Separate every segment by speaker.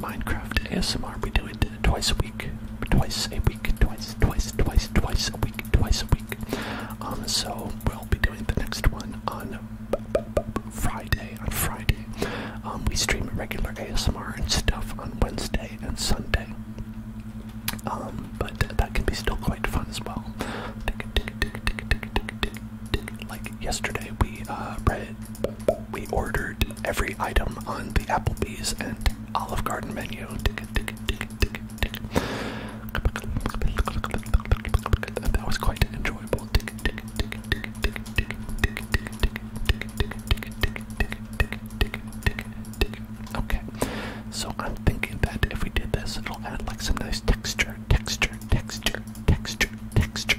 Speaker 1: Minecraft ASMR. We do it twice a week, twice a week, twice, twice, twice, twice a week, twice a week. Um, so we'll be doing the next one on Friday. On Friday, um, we stream regular ASMR and stuff on Wednesday and Sunday. Um, but that can be still quite fun as well. Like yesterday, we uh, read we ordered every item on the Applebee's and Olive Garden menu. That was quite enjoyable. Okay, so I'm thinking that if we did this, it'll add like some nice texture, texture, texture, texture, texture,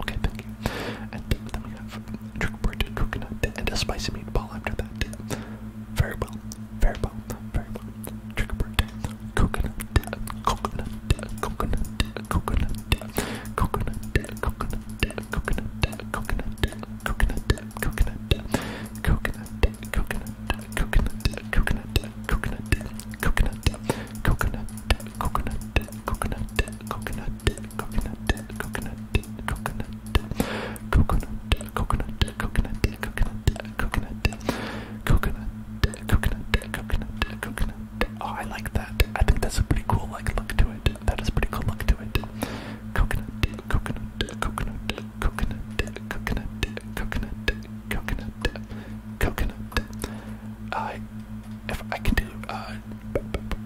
Speaker 1: Okay, thank you. And then we have trick bird, coconut, and a spicy meatball after that. Very well, very well, very well. Trick bird, coconut, coconut, coconut, coconut, coconut, coconut, coconut, coconut, coconut, coconut, coconut, coconut, coconut, coconut, coconut, coconut, coconut, coconut coconut, coconut, coconut, coconut, coconut, coconut, coconut, coconut, coconut, coconut, coconut, coconut, coconut, coconut, coconut, coconut. Oh, I like that. I think that's a pretty cool like look to it. That is a pretty cool look to it. Coconut, coconut, coconut, coconut, coconut, coconut, coconut, coconut. I, if I can do uh,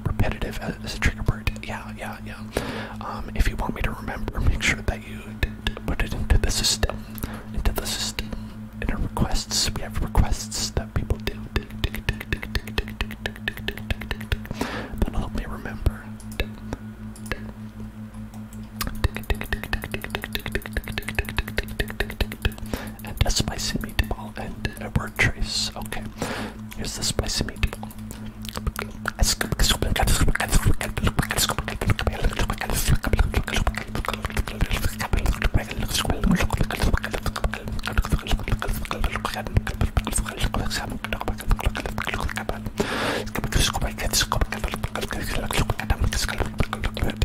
Speaker 1: repetitive as a trigger word. Yeah, yeah, yeah. Um, if you want me to remember, make sure that you put it into the system. Into the system. In our requests, we have requests that people do. That'll help me remember and a spicy meatball and a word trace. Okay, here's the spicy meatball.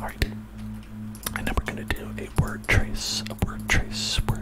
Speaker 1: Alright. And then we're gonna do a word trace, a word trace,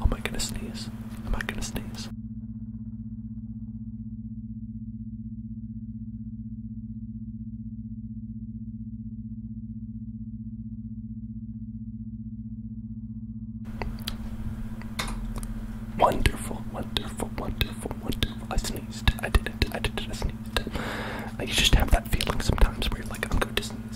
Speaker 1: am I gonna sneeze? Am I gonna sneeze? Wonderful, wonderful, wonderful, wonderful. I sneezed. I did it. I did it. I sneezed. I, just have that feeling sometimes where you're like, I'm going to sneeze.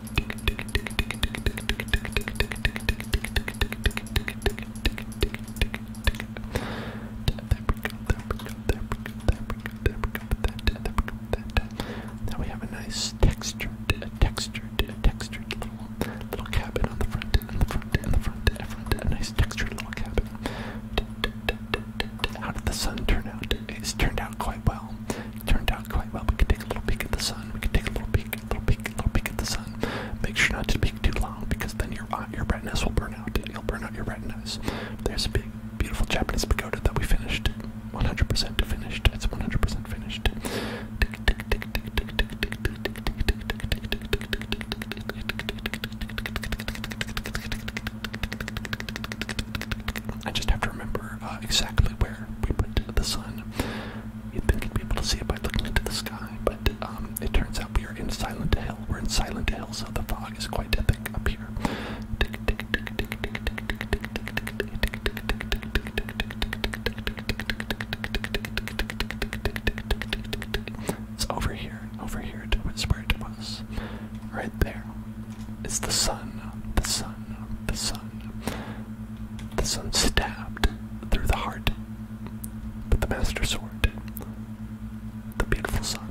Speaker 1: Now we have a nice textured, textured, textured little, cabin on the front, and the front, and the front, and the front. A nice textured little cabin. How did the sun turn out? It's turned out quite well turned out quite well. We can take a little peek at the sun. We can take a little peek, a little peek, a little peek at the sun. Make sure not to peek too long because then your uh, your retinas will burn out. And will burn out your retinas. There's a big, beautiful Japanese pagoda that we finished. 100% finished. It's 100% finished. I just have to remember uh, exactly where we put the sun. You'd think you'd be able to see it by looking into the sky, but um, it turns out we are in Silent hell. We're in Silent hell, so the fog is quite thick up here. It's over here, over here to where it was. Right there. It's the sun, the sun, the sun. The sun stabbed through the heart with the master sword. The beautiful sun.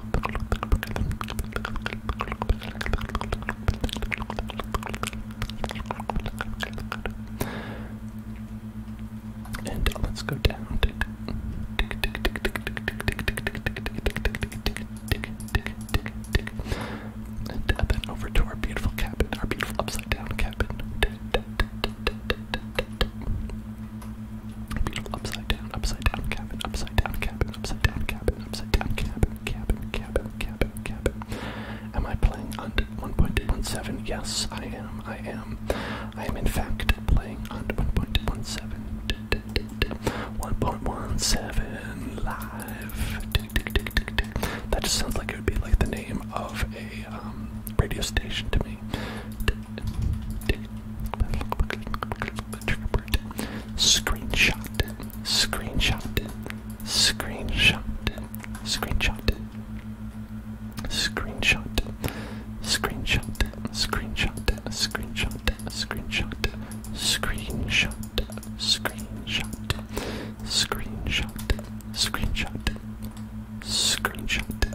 Speaker 1: And let's go down. And uh, then over to our beautiful cabin, our beautiful upside down cabin. Upside down, upside down cabin, upside down cabin, upside down cabin, upside down cabin, cabin, cabin, cabin, cabin. Am I playing on 1.17? Yes, I am. I am. I am in fact playing on 1.17. 1.17 live. That just sounds like it would be like the name of a um, radio station to me. Screenshot it. Screenshot it. Screenshot it. Screenshot it. Screenshot it. Screenshot it. Screenshot it. Screenshot it. Screenshot it. Screenshot it. Screenshot it. Screenshot it. Screenshot it. Screenshot it.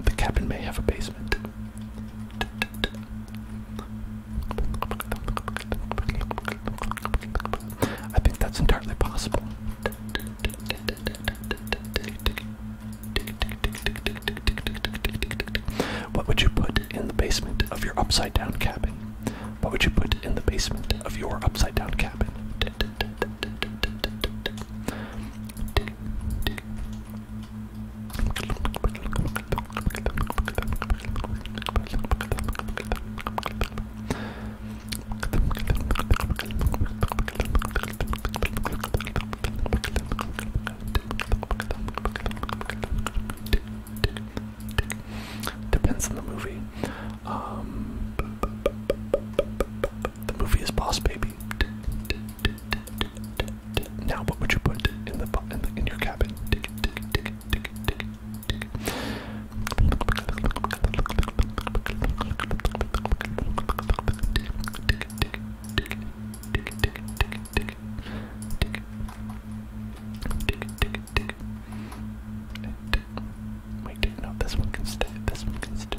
Speaker 1: The cabin may have a basement. I think that's entirely possible. What would you put in the basement of your upside down cabin? What would you put in the basement of your upside down cabin? Depends on the movie. Um, the movie is Boss Baby. Now, what would you put in the in, the, in your cabin? Wait, no, this one can stay. This one can stay.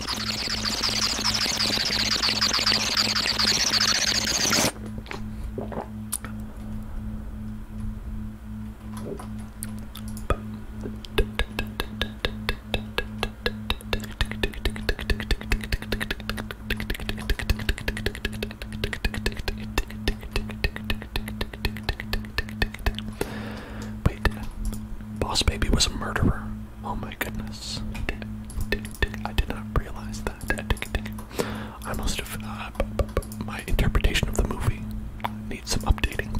Speaker 1: Wait, Boss Baby was a murderer. Oh my goodness. I did not realize that. I must have. Uh, my interpretation of the movie need some updating.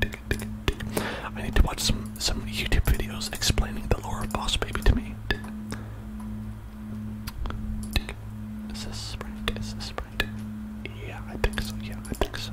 Speaker 1: I need to watch some, some YouTube videos explaining the lore of Boss Baby to me. Is this right? Is this right? Yeah, I think so. Yeah, I think so.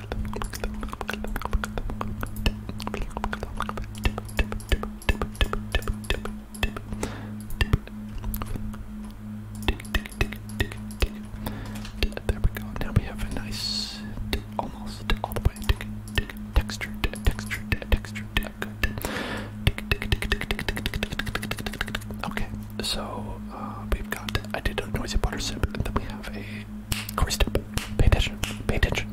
Speaker 1: There we go. Now we have a nice, almost all the way texture, texture, texture. Okay, so we've got. I did a noisy butter sip, and then we have a. Corey step. Pay attention. Pay attention.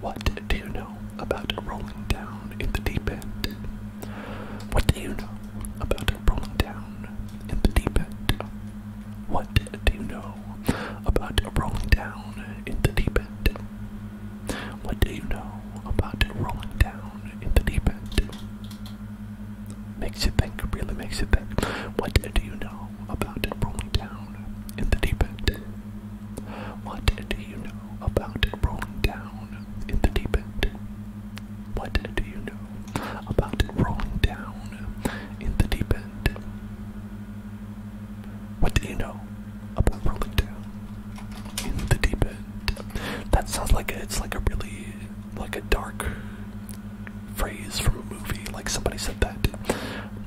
Speaker 1: What do you know about rolling down in the deep end? What do you know about rolling down in the deep end? What do you know about rolling down in the deep end? What do you know about rolling down in the deep end? Makes you think, really makes you think. What do you know about it rolling down in the deep end? What do you know about it rolling down in the deep end? What do you know about rolling down in the deep end? What do you know about rolling down in the deep end? That sounds like it's like a really like a dark phrase from a movie. Like somebody said that,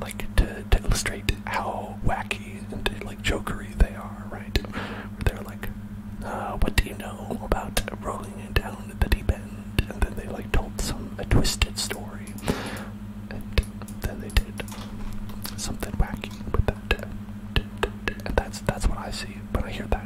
Speaker 1: like to, to illustrate how wacky and like jokery they are, right? They're like, "What do you know about rolling down the deep end?" And then they like told some a twisted story, and then they did something wacky with that. And that's that's what I see when I hear that.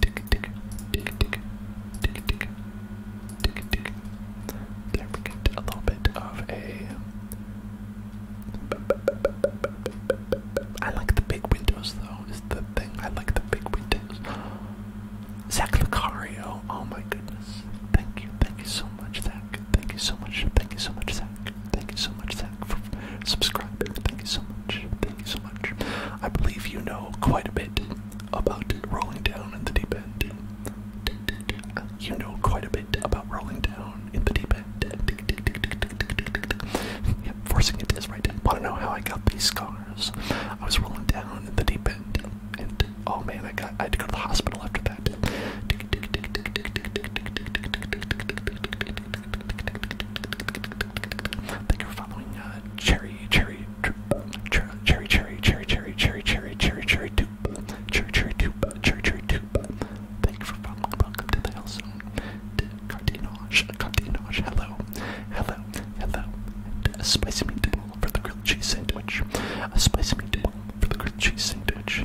Speaker 1: Tick, tick, tick, tick, tick, tick, tick, tick. There we get a little bit of a. I like the big windows though. Is the thing I like the big windows. Zach Lucario, oh my goodness! Thank you, thank you so much, Zach. Thank you so much, thank you so much, Zach. Thank you so much, Zach, for subscribing. Thank you so much, thank you so much. I believe you know quite a bit about rolling down in the deep end. You know quite a bit about rolling down in the deep end. Yep, forcing it is right. Want to know how I got these scars? I was rolling down in the deep end, and oh man, I got I had to go to the hospital after that. Thank you for following. Uh, cherry, cherry, cherry, cherry, cherry, cherry, cherry, cherry, cherry, cherry, tube, cherry, cherry, tube, cherry, cherry, tube. Thank you for following. Welcome to the hellzone. Cardinage, cardinage. Hello, hello, hello. A spicy meat bowl for the grilled cheese sandwich. A spicy meat bowl for the grilled cheese sandwich.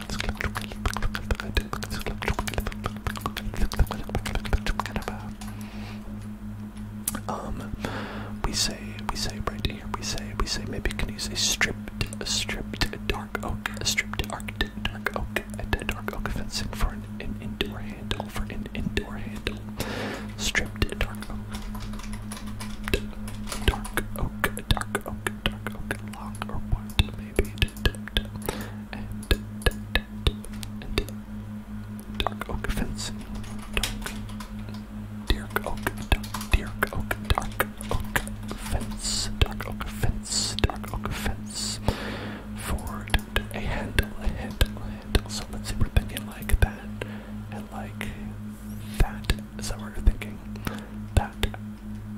Speaker 1: Um, we say, we say right here, we say, we say maybe can use a stripped, a stripped dark oak, a stripped dark, dark oak, a dark oak fencing for an, an indoor handle, for an indoor handle, stripped dark oak, dark oak, dark oak, dark oak, long or wood, dark oak fence. Dark. oak. Dark oak. Dark oak fence. Dark oak fence. Dark oak fence. For a handle. A handle. A handle. So let's see. We're thinking like that. And like that. Is that what we're thinking? That.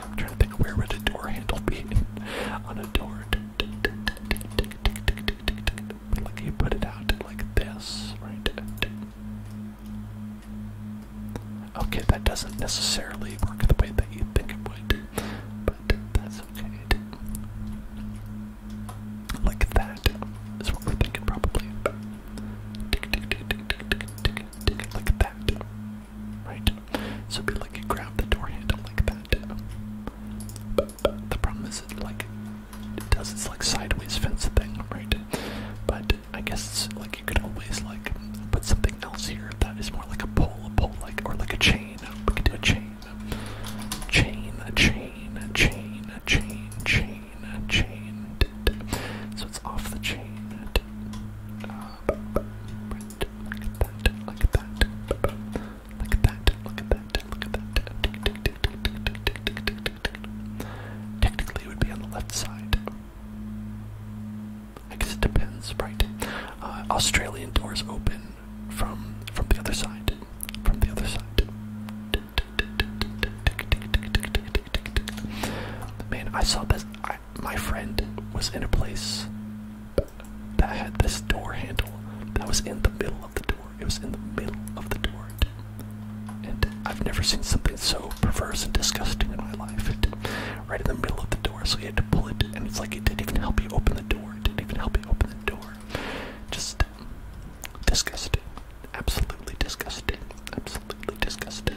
Speaker 1: I'm trying to think where would a door handle be on a door. Like you put it out like this, right? Okay, that doesn't necessarily work the way that you think it would, but that's okay. Like that is what we're thinking, probably. Like that right? So be like, you grab the door handle like that. But the problem is, like it does this like sideways fence thing, right? But I guess like you could always like put something else here that is more like a pole, a pole like, or like a chain. We could do a chain, chain, a chain, a chain, a chain, chain, a chain. So it's off the chain. Uh, Technically, it would be on the left side. I guess it depends, right? Uh, Australian doors open from from the other side, from the other side. Man, I saw this. my friend was in a place that had this door handle that was in the middle of the door. It was in the middle of the door. And I've never seen something so perverse and disgusting in my life. right in the middle of the door, so you had to pull it, and it's like it didn't even help you open the door. It didn't even help you open the door. Just disgusting. Absolutely disgusting. Absolutely disgusting.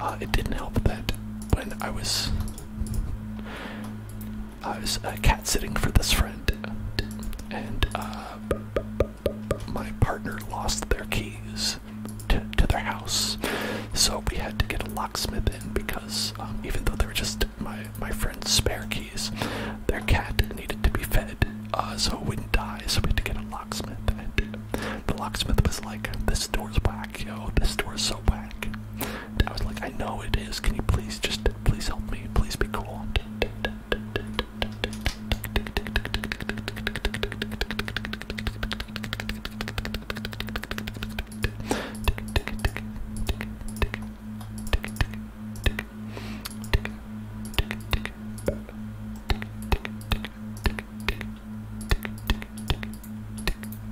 Speaker 1: Uh, it didn't help that when I was I was uh, cat sitting for this friend, and uh, my partner lost their keys to, their house, so we had to get a locksmith in because um, even though they were just my my friend's spare keys, their cat needed to be fed uh, so it wouldn't die. So we had to get a locksmith, and the locksmith was like, "This door's whack, yo! This door's so whack." I was like, I know it is. Can you please just please help me? Please be cool.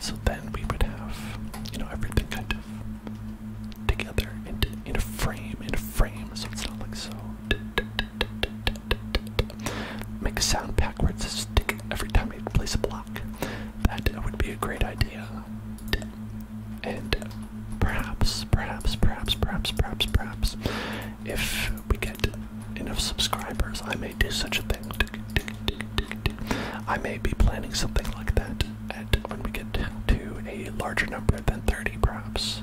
Speaker 1: so then we would have, you know, everything kind of together into in a frame, in a frame, so it's not like so Make a sound backwards stick every time you place a block. That would be a great idea. And perhaps, perhaps, perhaps, perhaps, perhaps, perhaps, if we get enough subscribers, I may do such a thing. I may be planning something like that at when we get to a larger number than 30, perhaps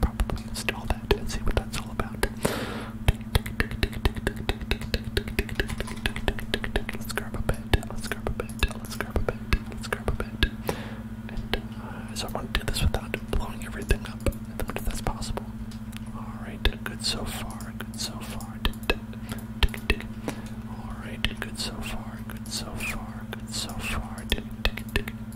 Speaker 1: probably install that and see what that's all about. Let's grab a bed, let's grab a bed, let's grab a bed, let's grab a bed. And uh, so I want to do this without blowing everything up, if that's possible. Alright, good so far, good so far. Alright, good so far, good so far, good so far.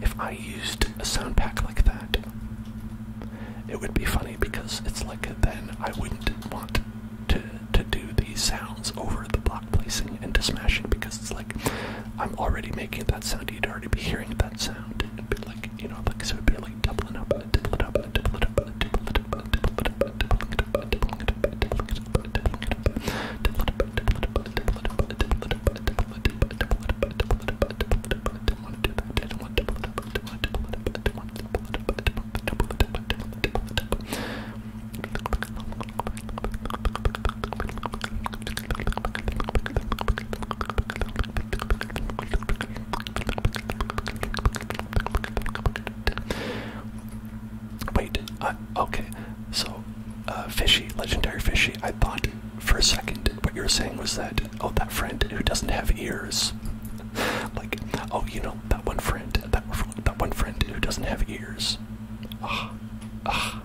Speaker 1: if I used a sound pack like that, it would be funny because it's like then I wouldn't want to to do these sounds over the block placing and to smashing because it's like I'm already making that sound. You'd already be hearing that sound. you know, so it'd be like doubling up, Wait, uh, okay. So, uh, fishy, legendary fishy. I thought for a second what you were saying was that oh, that friend who doesn't have ears, like oh, you know that one friend, that, one friend who doesn't have ears. Ah, ah,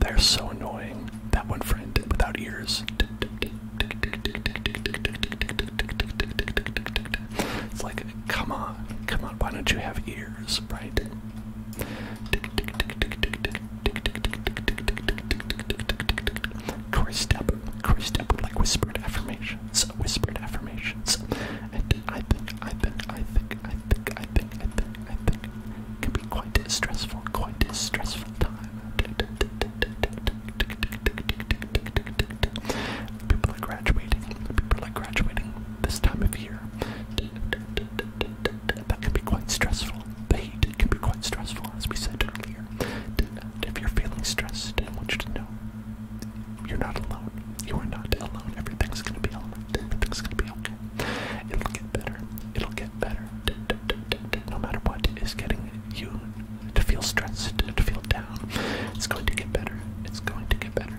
Speaker 1: they're so annoying. That one friend without ears. It's like, come on, come on, why don't you have ears, right? Corey Step, Corey Step, like whispered affirmation affirmations, whispered affirmations, and I think, I think, I think, I think, I think, I think, I think, can be quite a stressful, quite a stressful time. People are graduating. People are graduating this time of year. That can be quite stressful. The heat can be quite stressful, as we said earlier. If you're feeling stressed, I want you to know you're not alone. You are not alone. Everything's gonna be alright. Everything's gonna be okay. It'll get better. It'll get better. No matter what is getting you to feel stressed, to feel down, it's going to get better. It's going to get better.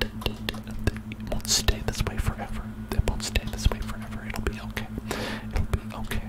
Speaker 1: It won't stay this way forever. It won't stay this way forever. It'll be okay. It'll be okay.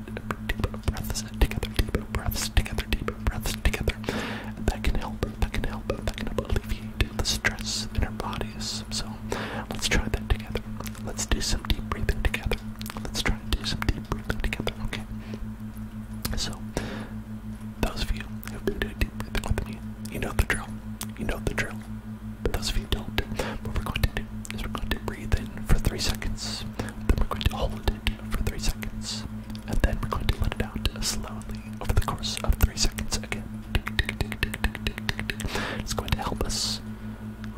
Speaker 1: deep breaths together, deep breaths together, deep breaths together. And that can help, that can help, that can help alleviate the stress in our bodies. So let's try that together. Let's do some deep breathing together. Let's try and do some deep breathing together, okay? So, those of you who've been doing deep breathing with me, you know the drill. You know the drill. But those of you who don't, what we're going to to we're going to breathe in for three seconds, then we're going to hold it for three seconds, and then we're going to let it out slowly over the course of three seconds again. It's going to help us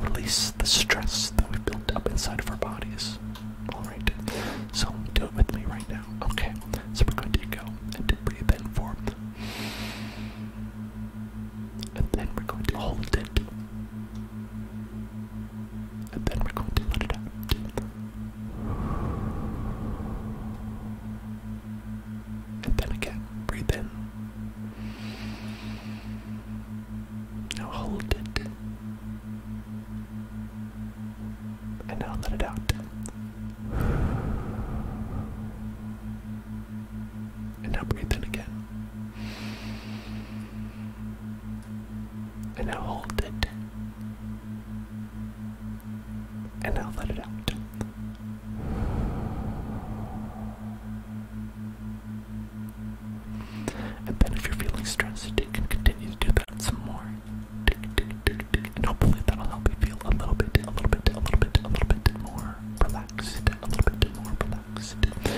Speaker 1: release the stress that we've built up inside of our bodies. Alright, so do it with me right now. Okay, so we're going to go and breathe in for. And then we're going to hold it. And then we're going to let it out. And then again, breathe in. Now hold it. And now let it out. And now breathe in again. And now hold it. And now let it out. And then if you're feeling stressed, you can continue to do that some more. And hopefully that'll help you feel a little bit, a little bit, a little bit, a little bit more relaxed, a little bit more relaxed.